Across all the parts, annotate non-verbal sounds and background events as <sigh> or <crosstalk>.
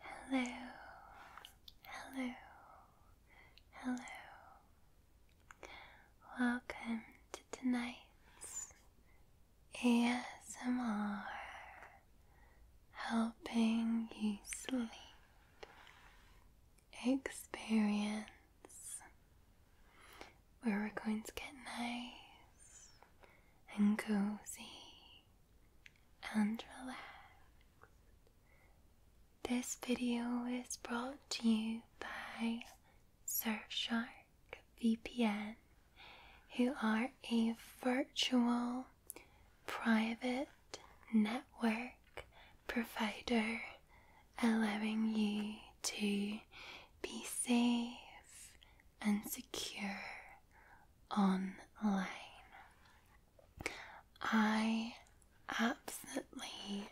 Hello, hello, hello. Welcome to tonight's ASMR helping you sleep experience where we're going to get nice and cozy and relaxed. This video is brought to you by Surfshark VPN, who are a virtual private network provider, allowing you to be safe and secure online. I absolutely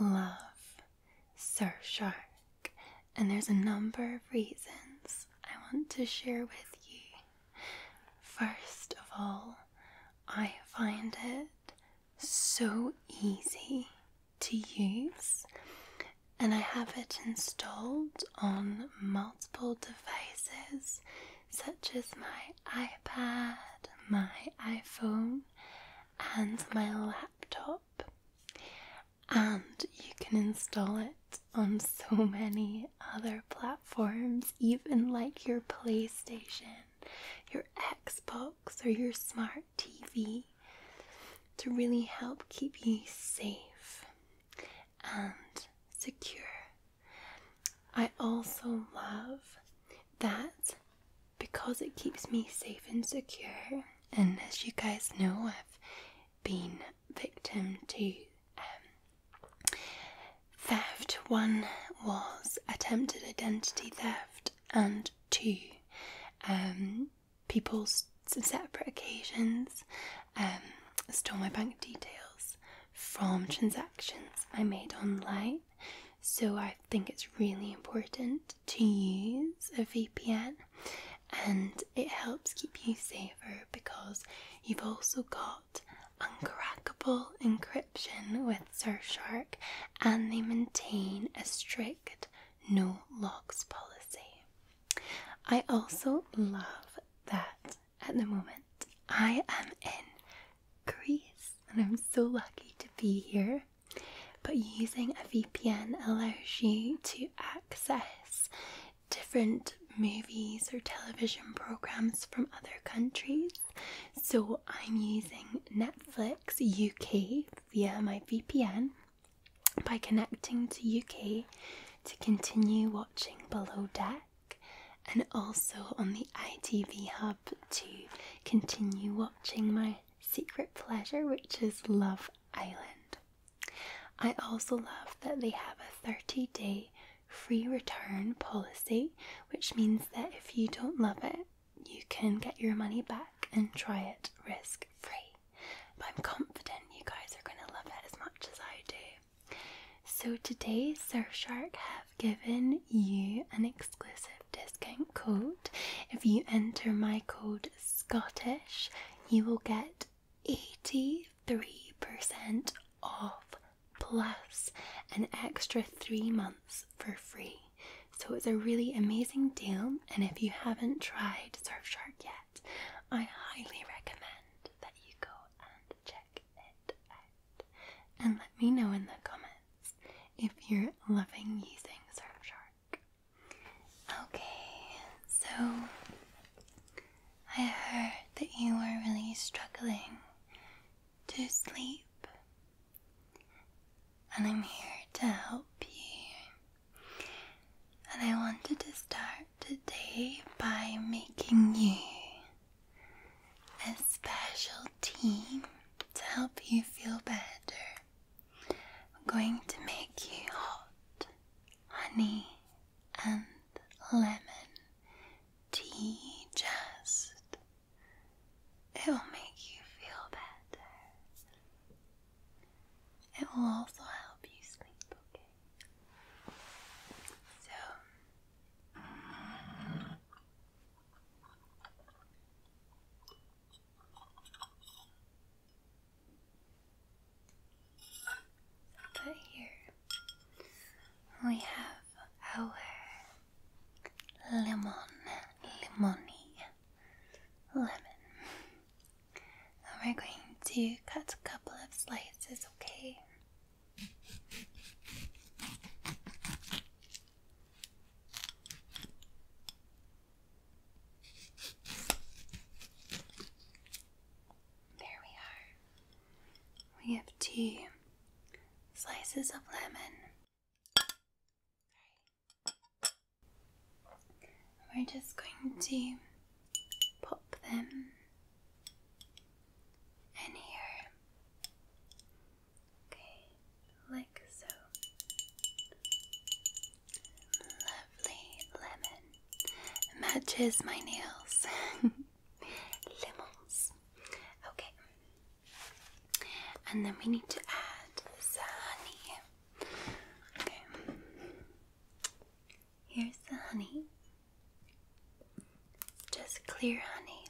love Surfshark, and there's a number of reasons I want to share with you. First of all, I find it so easy to use and I have it installed on multiple devices such as my iPad, my iPhone, and my laptop. And you can install it on so many other platforms, even like your PlayStation, your Xbox, or your smart TV, to really help keep you safe and secure. I also love that because it keeps me safe and secure. And as you guys know, I've been victim to um, theft. One was attempted identity theft, and two, um, people's separate occasions, um, stole my bank details from transactions I made online. So I think it's really important to use a VPN and it helps keep you safer because you've also got uncrackable encryption with Surfshark and they maintain a strict no logs policy. I also love that at the moment I am in Greece and I'm so lucky to be here. But using a VPN allows you to access different movies or television programs from other countries. So I'm using Netflix UK via my VPN by connecting to UK to continue watching Below Deck and also on the ITV Hub to continue watching my secret pleasure, which is Love Island. I also love that they have a 30 day free return policy, which means that if you don't love it, you can get your money back and try it risk free. But I'm confident you guys are going to love it as much as I do. So today, Surfshark have given you an exclusive discount code. If you enter my code Scottish, you will get 83% off plus an extra three months for free. So it's a really amazing deal, and if you haven't tried Surfshark yet, I highly recommend that you go and check it out. And let me know in the comments if you're loving using Surfshark. Okay, so I heard that you are really struggling to sleep, and I'm here to help you. And I wanted to start today by making you a special tea to help you feel better. I'm going to make you hot honey and lemon tea just. It will make you feel better. It will also help you sleep, okay? So, here we have our lemon, lemony, lemon we're going to cut a couple of slices, okay? There we are. We have two slices of lemon. We're just going to pop them in here. Okay, like so. Lovely lemon. Matches my nails. <laughs> Lemons. Okay. And then we need to add the honey. Okay. Here's the honey. Just clear honey.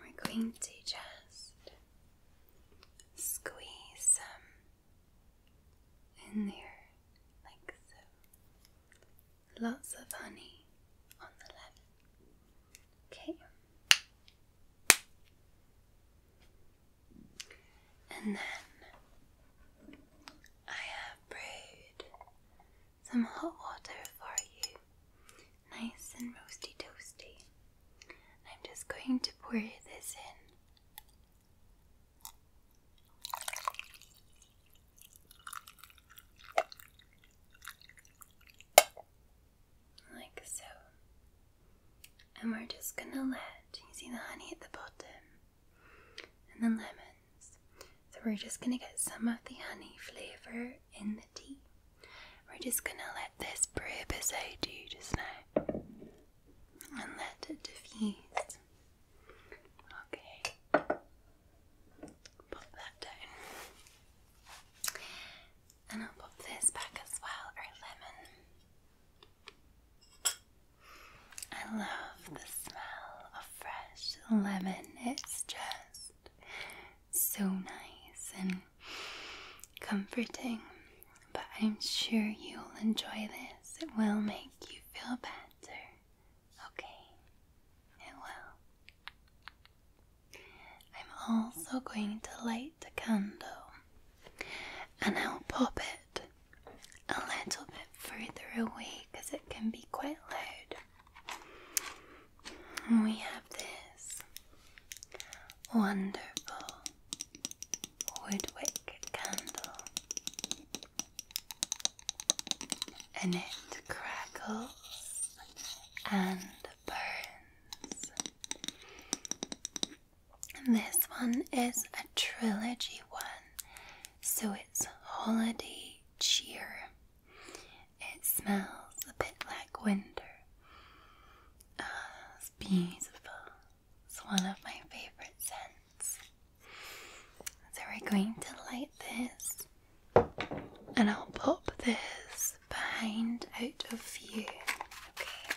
We're going to just squeeze some in there, like so. Lots of honey on the lemon. Okay. And then I have brewed some hot water for you, nice and roasty toasty. I'm just going to pour this in. Like so. And we're just gonna let you see the honey at the bottom and then lemons. So we're just gonna get some of the honey flavor in the tea. We're just gonna let this brew beside you just now and let it diffuse. Okay, pop that down, and I'll pop this back as well, our lemon. I love the smell of fresh lemon. It's just so nice and comforting. But I'm sure you'll enjoy this. It will make you feel better. Okay, it will. I'm also going to light the candle and I'll pop it a little bit further away because it can be quite loud. We have this wonderful woodwick candle, and it crackles and burns this one is a trilogy one, so it's holiday cheer. It smells a bit like winter. Oh, it's beautiful. It's one of my favorite scents. So we're going to light this, and I'll pop this behind out of view. Okay.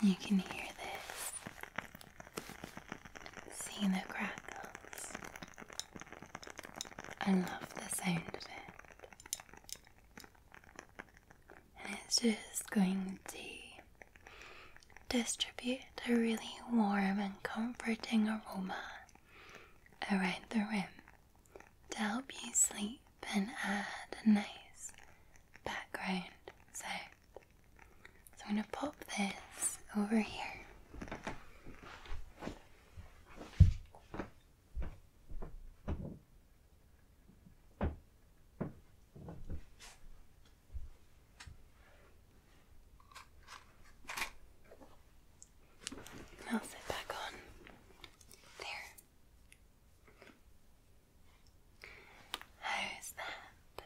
And you can hear this. See the crackles. I love the sound of it. And it's just going to distribute a really warm and comforting aroma around the room to help you sleep and add a nice background. So, I'm going to pop this over here. I'll sit back on. There. How's that?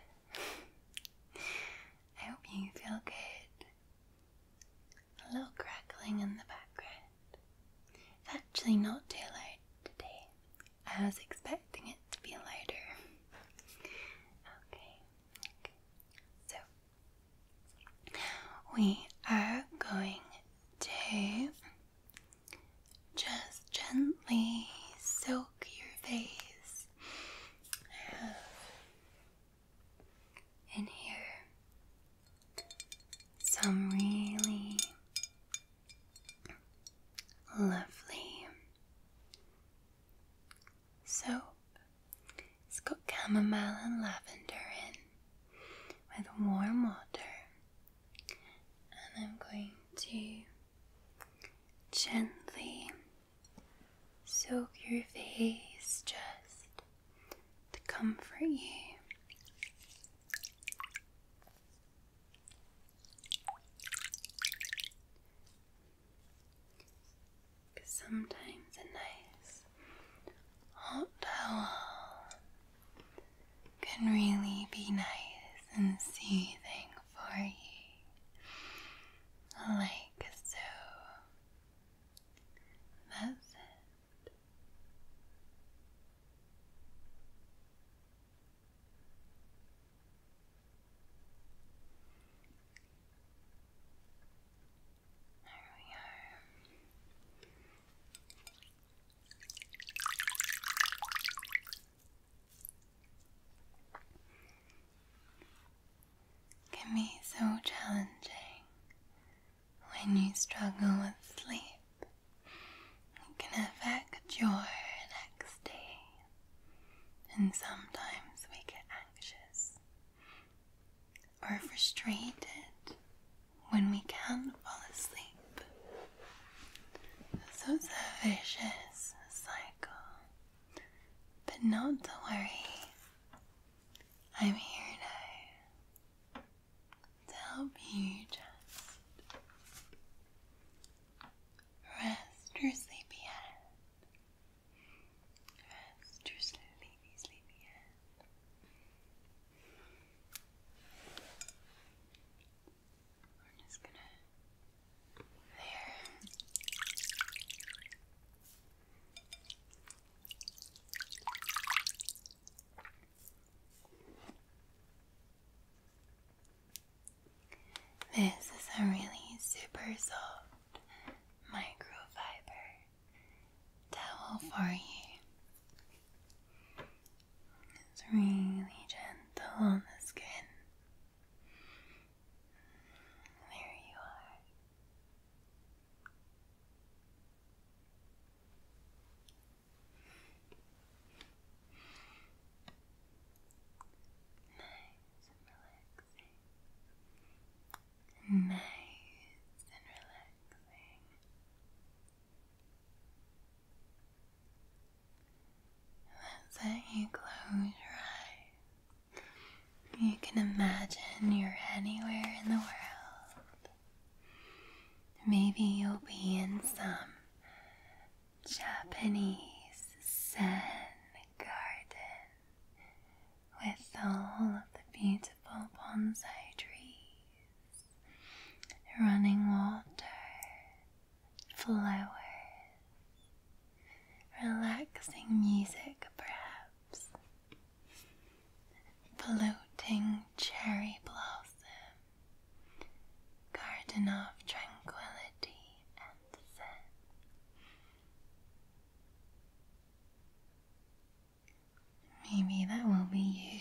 I hope you feel good. A little crackling in the background. It's actually not too loud today. I was expecting it to be louder. okay, So, we are going to just gently soak your face. I have in here some really lovely soap. It's got chamomile and lavender in with warm water and I'm going to gently soak your face just to comfort you. Because sometimes a nice hot towel can really be nice and soothing for you, like so. There we are can be so challenging when you struggle with sleep. It can affect your next day, and sometimes we get anxious or frustrated when we can't fall asleep so it's a vicious cycle. But not to worry, I'm here now to help you just rest your sleepy head. Rest your sleepy, sleepy head. This is a really super soft microfiber towel for you. It's really gentle on the skin. There you are. Nice and relaxing. Nice and relaxing let you close your eyes. You can imagine you're anywhere in the world. Maybe you'll be in some Japanese Zen garden with all of the beautiful bonsai trees, running water, flowers, relaxing music perhaps, floating cherry blossom, garden of tranquility and scent. Maybe that will be you.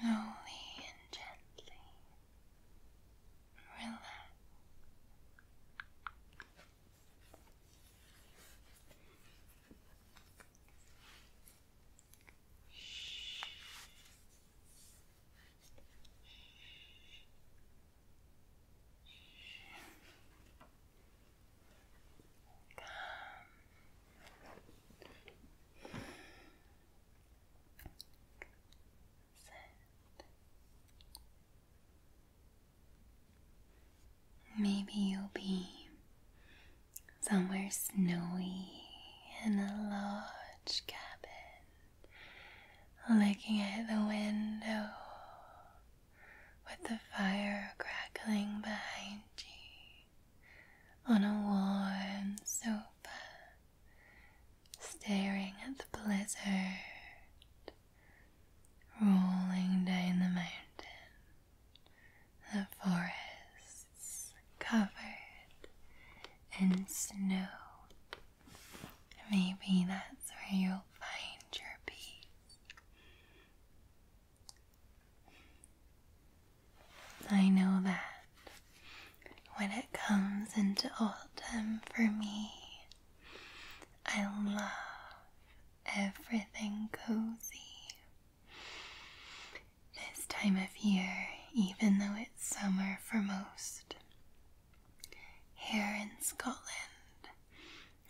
Slowly and gently relax. Shh. Come. Maybe you'll be somewhere snowy in a large cabin, looking at the window with the fire crackling behind you on a warm sofa staring at the blizzard rolling down the mountain, the forests covered in snow. Maybe that's where you'll find your peace. I know that when it comes into autumn for me, I love everything cozy. This time of year, even though it's summer for most, here in Scotland,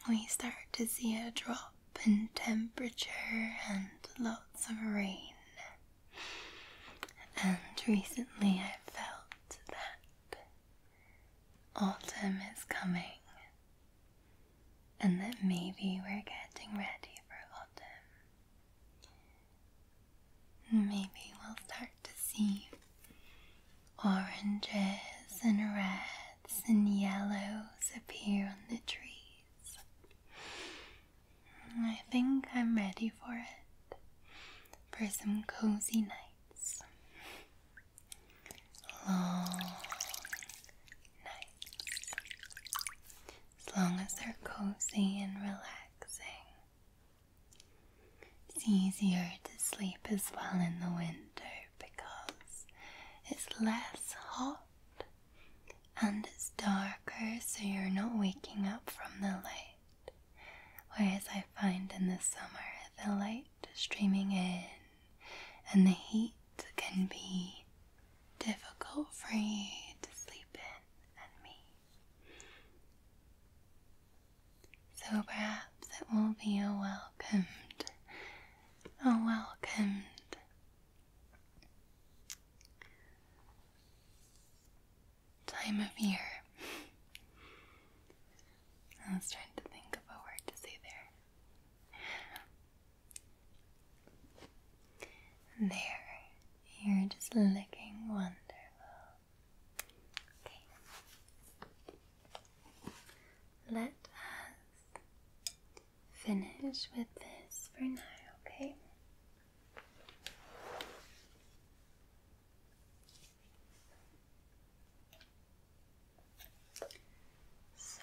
we start to see a drop in temperature and lots of rain. And recently I felt that autumn is coming and that maybe we're getting ready for autumn. Maybe we'll start to see oranges and reds and yellows appear on the trees. I think I'm ready for it. For some cozy nights. Long nights. As long as they're cozy and relaxing. It's easier to sleep as well in the winter because it's less hot and it's darker, so you're not waking up from the light. Whereas I find in the summer the light streaming in and the heat can be difficult for you to sleep in and me. So perhaps it will be a welcomed, a welcomed time of year. I was trying to think of a word to say there. There, you're just looking wonderful. Okay. Let us finish with this for now, okay? So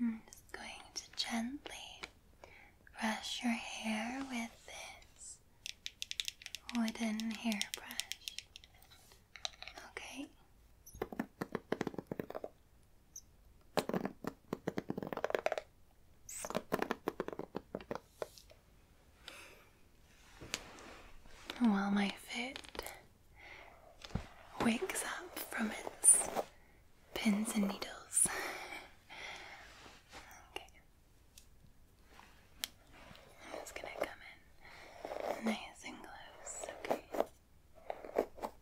I'm just going to gently brush your hair with this wooden hairbrush. Okay. Oh, While my foot wakes up from its pins and needles. I'm just gonna come in nice and close, okay?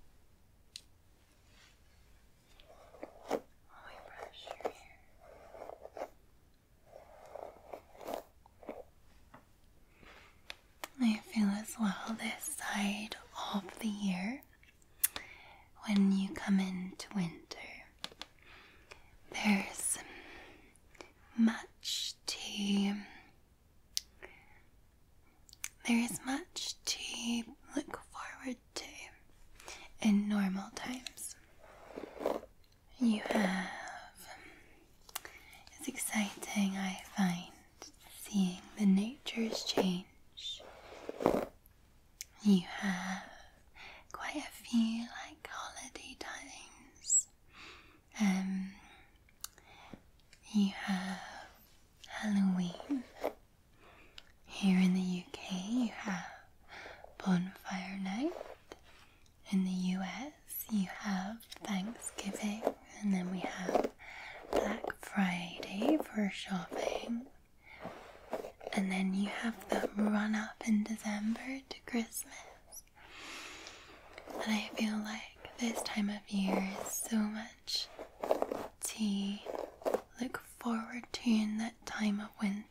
I feel as well this side of the year when you come into winter. There's much to there is much to look forward to in normal times. You have. It's exciting, I find, seeing the nature's change. You have quite a few like holiday times. and um, you have Halloween. Here in the UK, you have Bonfire Night. In the US, you have Thanksgiving, and then we have Black Friday for shopping. And then you have the run up in December to Christmas. And I feel like this time of year is so much much to look forward to in that time of winter.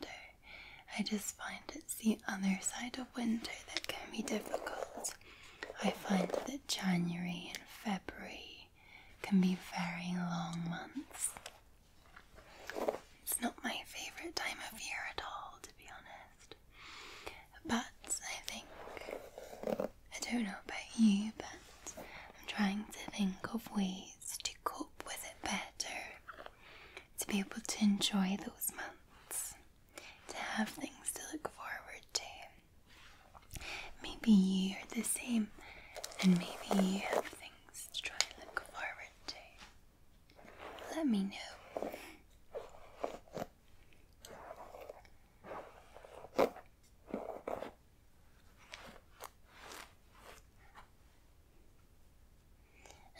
I just find it's the other side of winter that can be difficult. I find that January and February can be very long months. It's not my favourite time of year at all, to be honest. But I think I don't know about you, but I'm trying to think of ways to cope with it better, to be able to enjoy those months, to have things to look forward to. Maybe you are the same, and maybe you have things to try and look forward to. Let me know.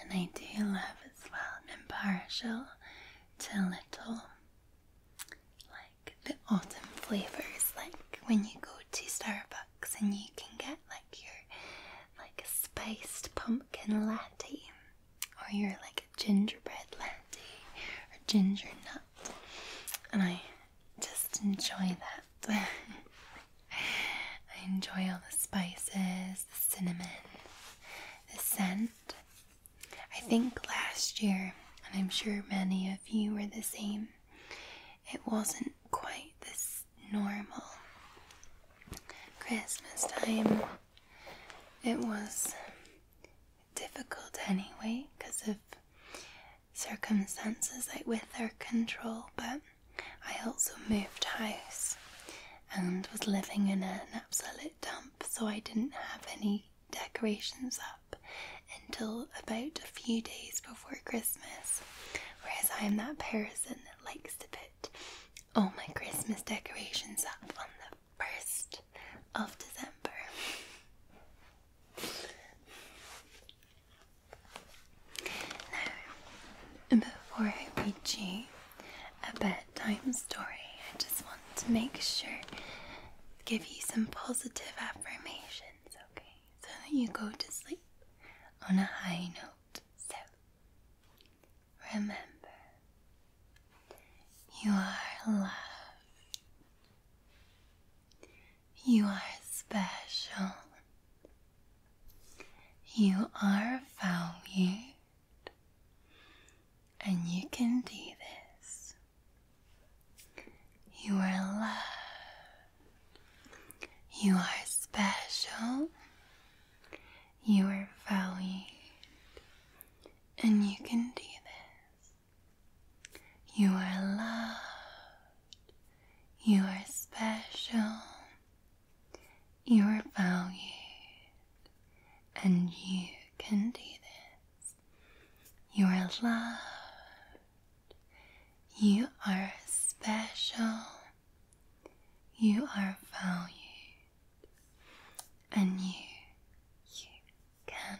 And I do love as well an impartial to little like the autumn flavors, like when you go to Starbucks and you can get like your like a spiced pumpkin latte or your like a gingerbread latte or ginger nut. And I just enjoy that. <laughs> I enjoy all the spices, the cinnamon, the scent. I think last year, and I'm sure many of you were the same, it wasn't quite this normal Christmas time. It was difficult anyway because of circumstances like with their control, but I also moved house and was living in an absolute dump, so I didn't have any decorations up until about a few days before Christmas. Whereas I'm that person that likes to put all my Christmas decorations up on the 1st of December before I read you a bedtime story, I just want to make sure give you some positive affirmations, okay? So that you go to sleep on a high note. So, remember, you are loved. You are special. You are valued. And you can do this. You are loved. You are special. You are valued. And you can do this. You are loved. You are special. You are valued. And you can do this. You are loved. You are special. You are valued. And you, you can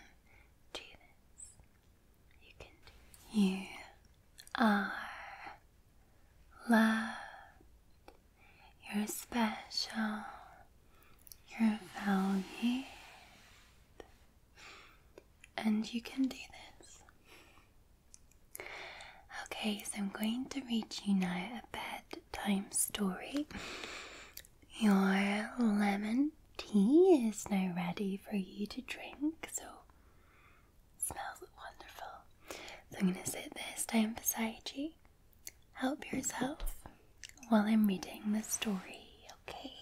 do this. You are loved. You're special. You're valued. And you can do this. Okay, so I'm going to read you now a bedtime story. Your lemon tea is now ready for you to drink, so smells wonderful. So I'm going to sit this down beside you. Help yourself while I'm reading the story, okay?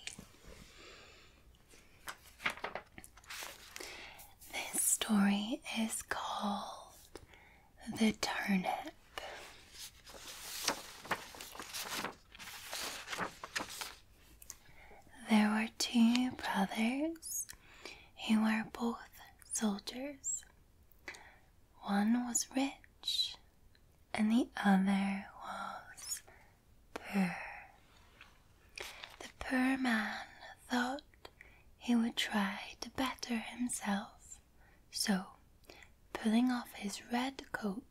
This story is called The Turnip. There were two brothers who were both soldiers. One was rich and the other was poor. The poor man thought he would try to better himself, so pulling off his red coat,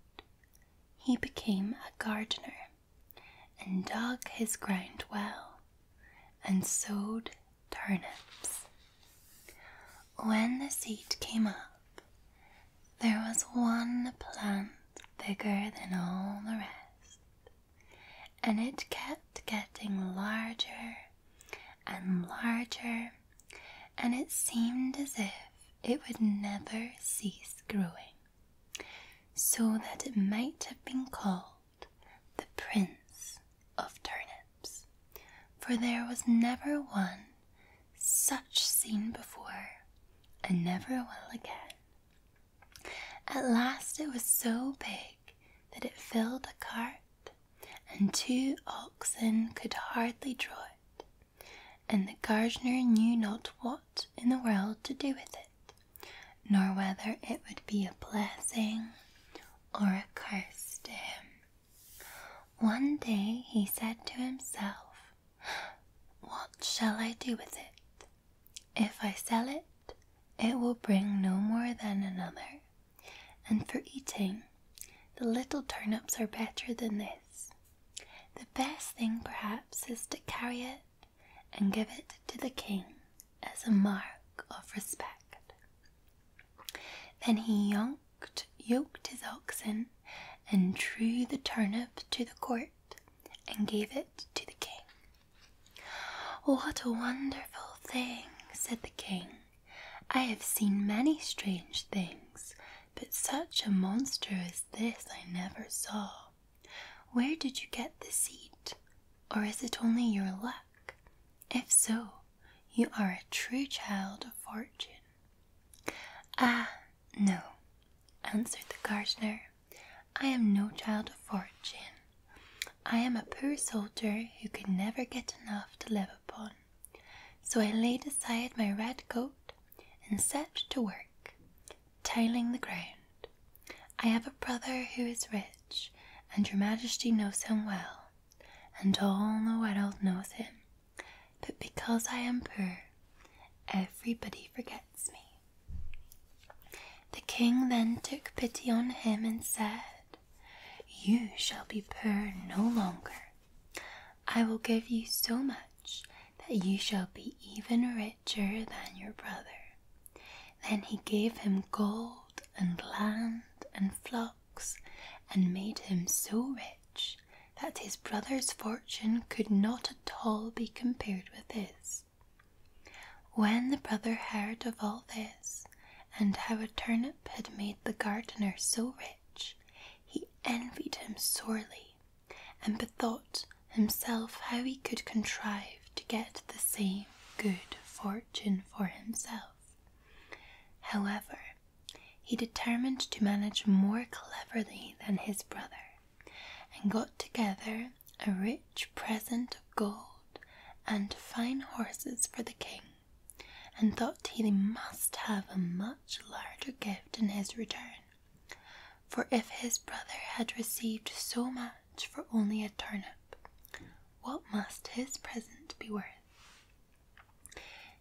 he became a gardener and dug his ground well, and sowed turnips. When the seed came up, there was one plant bigger than all the rest, and it kept getting larger and larger, and it seemed as if it would never cease growing so that it might have been called the Prince of Turnips, for there was never one such seen before, and never will again. At last it was so big that it filled a cart, and two oxen could hardly draw it and the gardener knew not what in the world to do with it, nor whether it would be a blessing or a curse to him. One day he said to himself, What shall I do with it? If I sell it, it will bring no more than another, and for eating, the little turnips are better than this. The best thing, perhaps, is to carry it and give it to the king as a mark of respect. Then he yoked, yoked his oxen and drew the turnip to the court and gave it to the king. What a wonderful thing, said the king. I have seen many strange things, but such a monster as this I never saw. Where did you get the seat, Or is it only your luck? If so, you are a true child of fortune. Ah, no, answered the gardener. I am no child of fortune. I am a poor soldier who could never get enough to live upon. So I laid aside my red coat and set to work tailing the ground. I have a brother who is rich, and your majesty knows him well, and all the world knows him. But because I am poor, everybody forgets me. The king then took pity on him and said, You shall be poor no longer. I will give you so much that you shall be even rich than your brother. Then he gave him gold and land and flocks, and made him so rich that his brother's fortune could not at all be compared with his. When the brother heard of all this, and how a turnip had made the gardener so rich, he envied him sorely and bethought himself how he could contrive to get the same good fortune for himself. However, he determined to manage more cleverly than his brother, and got together a rich present of gold and fine horses for the king, and thought he must have a much larger gift in his return. For if his brother had received so much for only a turnip, what must his present be worth?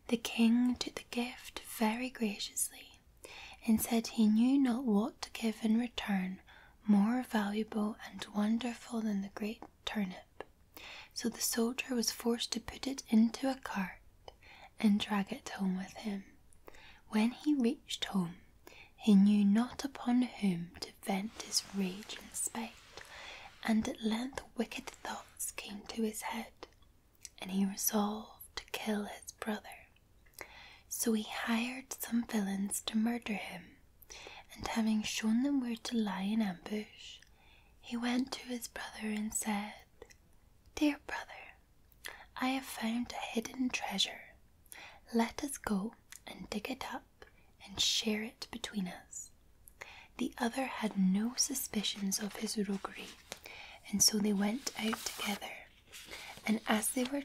The king took the gift very graciously, and said he knew not what to give in return more valuable and wonderful than the great turnip. So the soldier was forced to put it into a cart and drag it home with him. When he reached home, he knew not upon whom to vent his rage and spite, and at length wicked thoughts came to his head, and he resolved to kill his brother. So he hired some villains to murder him, and having shown them where to lie in ambush, he went to his brother and said, Dear brother, I have found a hidden treasure. Let us go and dig it up and share it between us. The other had no suspicions of his roguery, and so they went out together. And as they were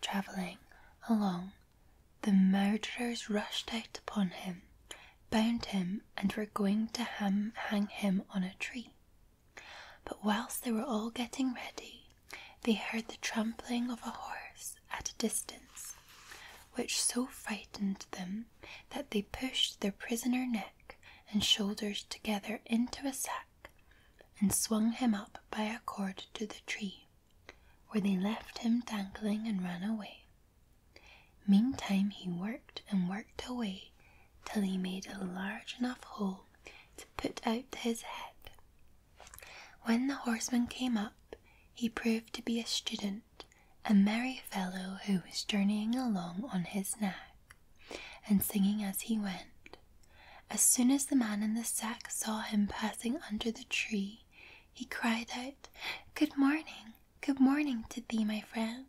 travelling along, the murderers rushed out upon him, bound him, and were going to hang him on a tree. But whilst they were all getting ready, they heard the trampling of a horse at a distance, which so frightened them that they pushed their prisoner neck and shoulders together into a sack and swung him up by a cord to the tree, where they left him dangling and ran away. Meantime he worked and worked away till he made a large enough hole to put out his head. When the horseman came up, he proved to be a student, a merry fellow who was journeying along on his nag, and singing as he went. As soon as the man in the sack saw him passing under the tree, he cried out, Good morning, good morning to thee, my friend.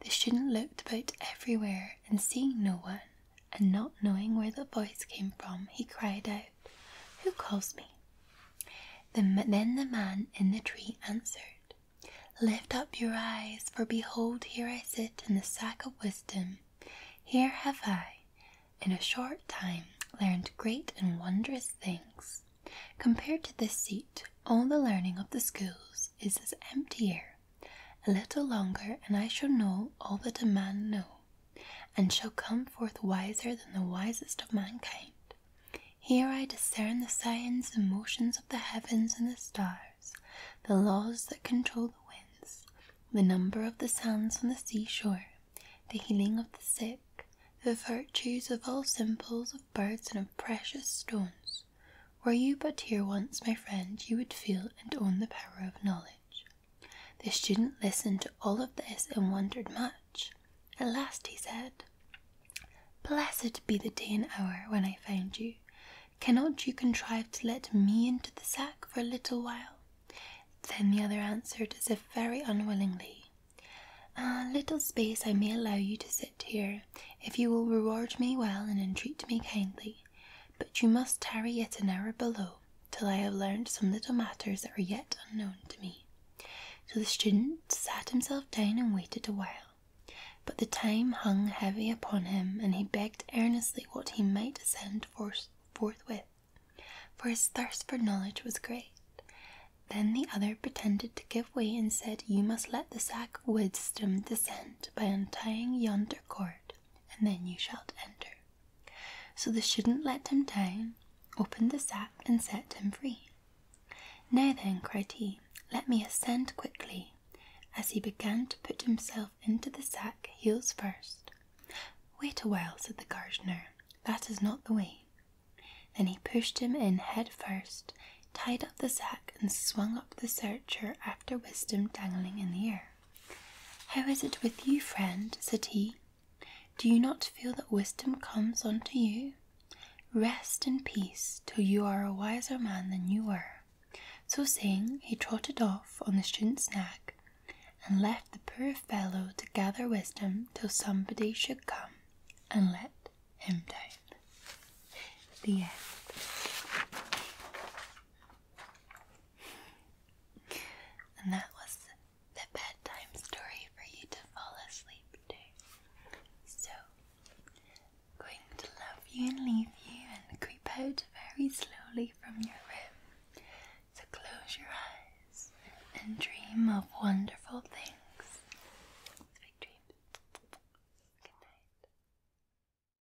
The student looked about everywhere, and seeing no one, and not knowing where the voice came from, he cried out, Who calls me? then the man in the tree answered, Lift up your eyes, for behold, here I sit in the sack of wisdom. Here have I, in a short time, learned great and wondrous things. Compared to this seat, all the learning of the schools is as empty air a little longer, and I shall know all that a man know, and shall come forth wiser than the wisest of mankind. Here I discern the signs and motions of the heavens and the stars, the laws that control the winds, the number of the sands on the seashore, the healing of the sick, the virtues of all simples of birds and of precious stones, were you but here once, my friend, you would feel and own the power of knowledge. The student listened to all of this and wondered much. At last he said, Blessed be the day and hour when I found you. Cannot you contrive to let me into the sack for a little while? Then the other answered, as if very unwillingly, A little space I may allow you to sit here, if you will reward me well and entreat me kindly but you must tarry yet an hour below till I have learned some little matters that are yet unknown to me. So the student sat himself down and waited a while, but the time hung heavy upon him, and he begged earnestly what he might ascend forthwith, for his thirst for knowledge was great. Then the other pretended to give way and said, You must let the sack of wisdom descend by untying yonder cord, and then you shall enter. So the student let him down, opened the sack, and set him free. Now then, cried he, let me ascend quickly. As he began to put himself into the sack, heels first. Wait a while, said the gardener, that is not the way. Then he pushed him in head first, tied up the sack, and swung up the searcher after wisdom dangling in the air. How is it with you, friend? said he. Do you not feel that wisdom comes unto you? Rest in peace till you are a wiser man than you were. So saying, he trotted off on the student's nag, and left the poor fellow to gather wisdom till somebody should come and let him down. The end. And that was the bedtime story for you to fall asleep to. So, I'm going to love you and leave you and creep out very slowly from your room. So, close your eyes and dream of wonderful things. Good night.